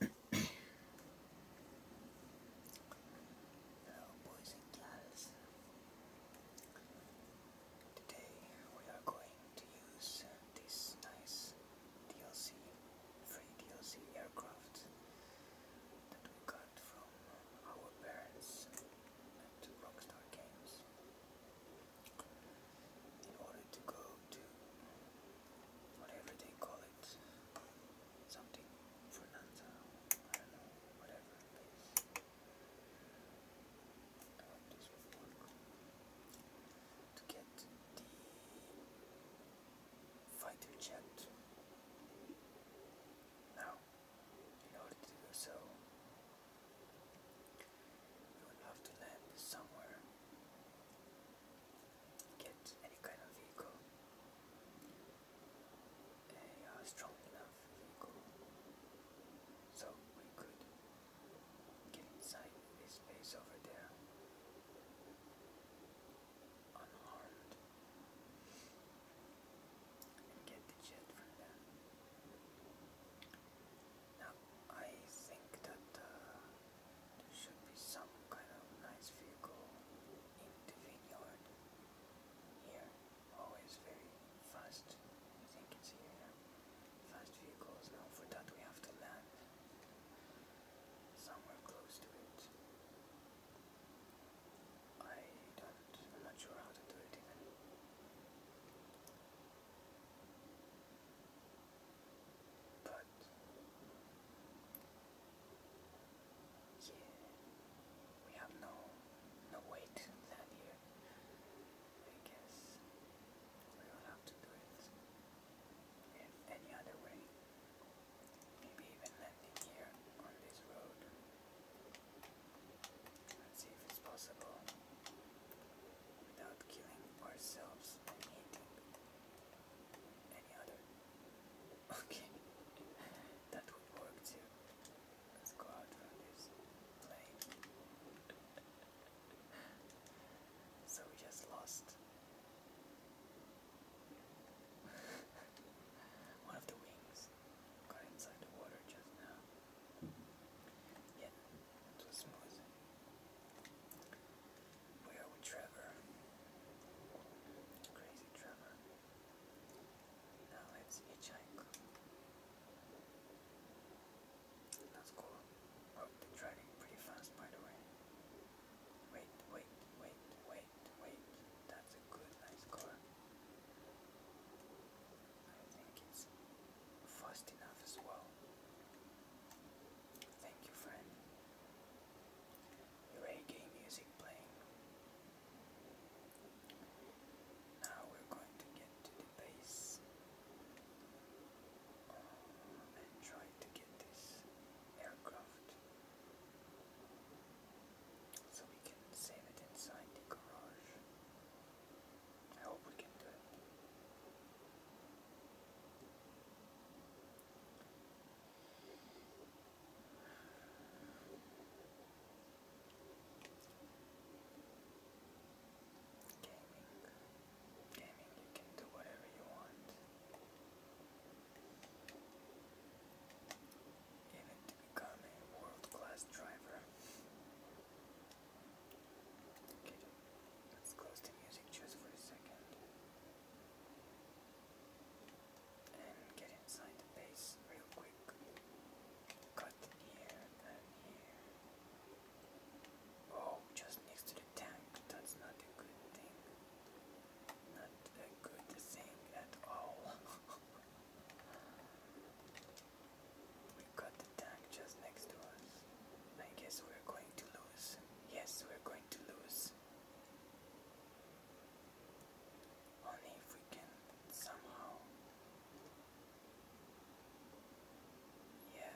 Hello, boys and girls. Today we are going to use this nice DLC, free DLC aircraft that we got from our parents at Rockstar Games in order to go to whatever they call it, something Fernanda, I don't know, whatever I hope this To get the fighter jet. Now, in order to do so, you would love to land somewhere, get any kind of vehicle, a uh, strong enough vehicle, so we could get inside this space over there unharmed and get the jet from them. Now, I think that uh, there should be some kind of nice vehicle in the vineyard here. Always very fast. I think it's here. Fast vehicles. Now, for that, we have to land somewhere close to it. I don't. I'm not sure how to do it even. But yeah, we have no no weight in that here. I guess we will have to do it in any other way. Maybe even landing here on this road. Let's see if it's possible without killing ourselves any other. Okay, that would work too. Let's go out from this plane. so we just lost one of the wings. Got inside the water just now. Yeah, so Trevor. Crazy Trevor. Now let's hitchhike. That's cool. they're driving pretty fast by the way. Wait, wait, wait, wait, wait. That's a good, nice car. I think it's fast enough as well. Thank you, friend. Reggae music playing. Now we're going to get to the base uh, and try to get this aircraft so we can save it inside the garage. I hope we can do it. Gaming. Gaming, you can do whatever you want. Even to become a world class driver. Okay, Let's close the music just for a second and get inside the bass real quick. Cut here and here. Oh, just next to the tank. That's not a good thing. Not a good thing at all. we got the tank just next to us. I guess we're going to lose. Yes, we're going to lose. Only if we can somehow. Yeah,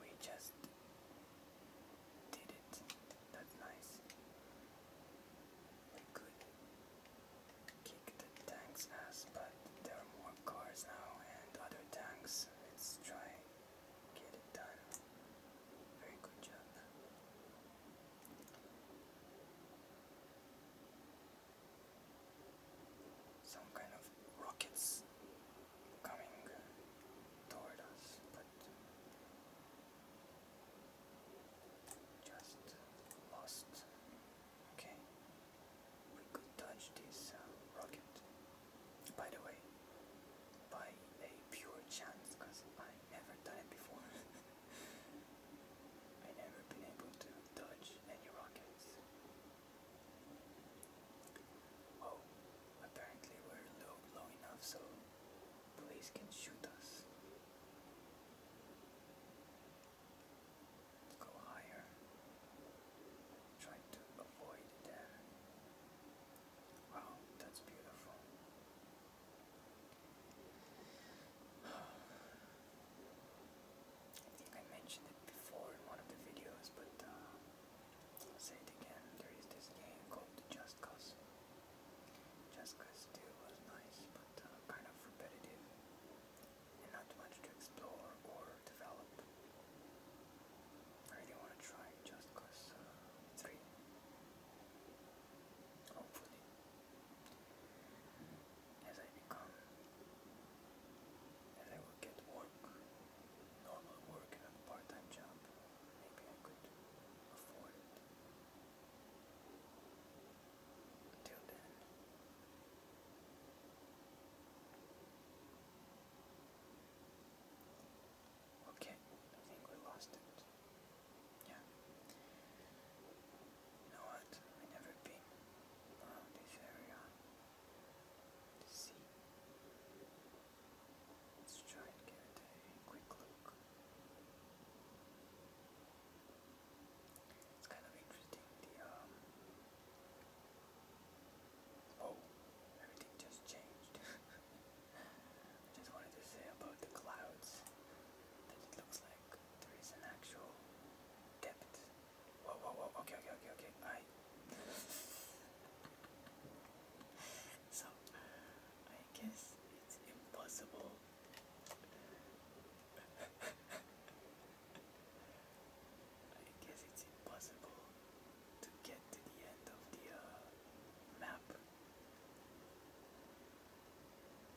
we just did it. That's nice. We could kick the tank's ass, but but there are more cars now and other tanks. Let's try get it done. Very good job. Some kind of rockets coming toward us, just lost Okay. We could touch this um, rocket. By the way, by a pure chance, because I never done it before. I never been able to touch any rockets. Oh, apparently we're low, low enough so police can shoot us. Go higher. Try to avoid that. Wow, that's beautiful. I think I mentioned it before in one of the videos, but uh, i say it again. There is this game called Just Cause. Just Cause 2 was nice, but uh, kind of repetitive not much to explore or develop. I really want to try just because uh, Hopefully, as I become, as I will get work, normal work and a part-time job, maybe I could afford it. Until then, Okay, I think we lost it. Yeah. You know what? I never been around oh, this area to see. Let's try and get a quick look. It's kind of interesting. The um, oh, everything just changed. just wanted to say about the clouds that it looks like there is an actual depth. Whoa, whoa, whoa! okay, okay, okay. I. so, I guess it's impossible. I guess it's impossible to get to the end of the uh, map.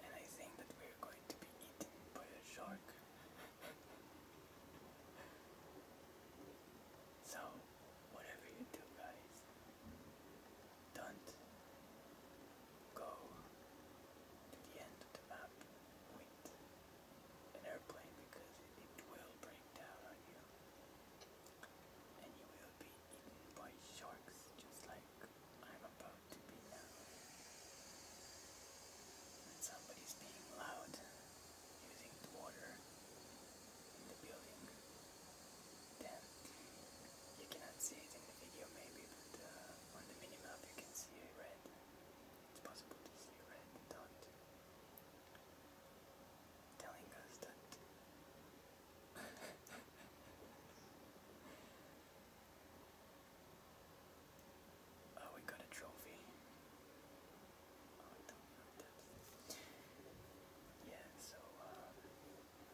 And I think that we're going to be eaten by a shark. so, whatever you do, guys, don't go to the end of the map with an airplane because it will break down on you. And you will be eaten by sharks just like I'm about to be now. somebody's being loud using the water in the building. Then you cannot see it in the video maybe, but uh, on the minimap you can see it red. It's possible to see red dot telling us that oh, we got a trophy. Oh, yeah, so uh,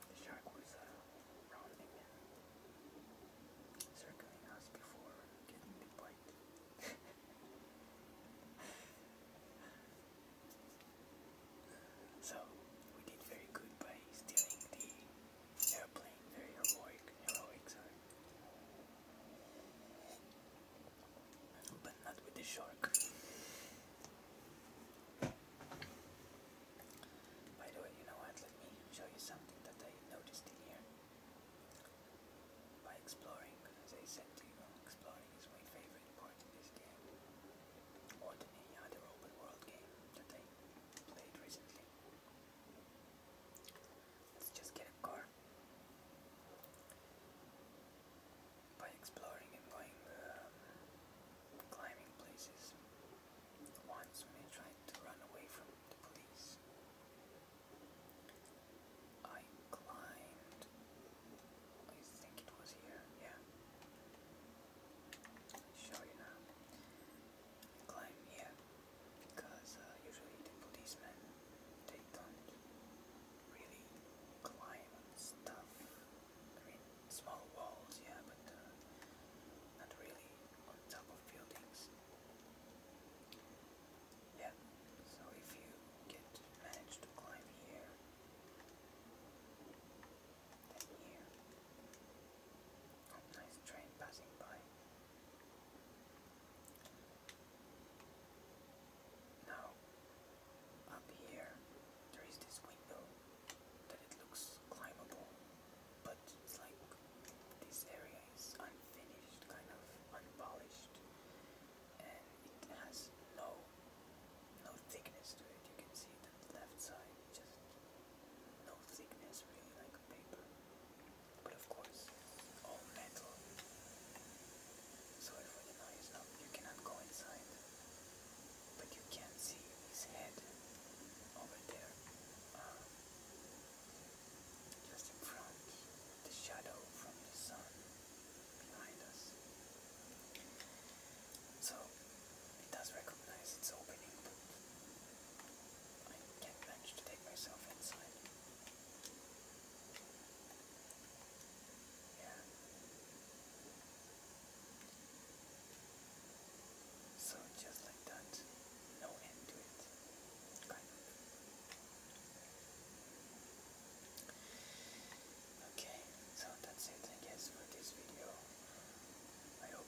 the shark was uh, circling us before getting the bite. So, we did very good by stealing the airplane. Very heroic, heroic, sorry. But not with the shark. By the way, you know what? Let me show you something that I noticed in here by exploring, as said to you, exploring is my favorite part of this game. Or to me, other open world game that I played recently. Let's just get a car. By exploring and going um, climbing places. Once when tried to run away from the police, I climbed. I think it was here. Yeah. show you now. I climbed because uh, usually the policemen they don't really climb stuff. small walls, yeah, but uh, not really on top of buildings. Yeah. So if you get manage to climb here, then here. Oh, nice train passing by. Now, up here, there is this window that it looks climbable, but it's like this area is unfinished, kind of unpolished, and it has no no thickness to it. You can see the left side, just no thickness, really like a paper. But of course, all metal. So it really nice up. You cannot go inside, but you can see his head over there. Ah. Just in front, the shadow from the sun behind us. So it does recognize its opening, but I can't manage to take myself inside. Yeah. So just like that, no end to it. Kind Okay, so that's it I guess for this video. I hope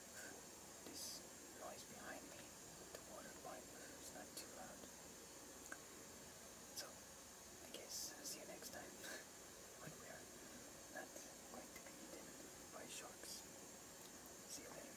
this noise behind me the water pipe is not too loud. So I guess see you next time when we are not going to be eaten by sharks. See you later.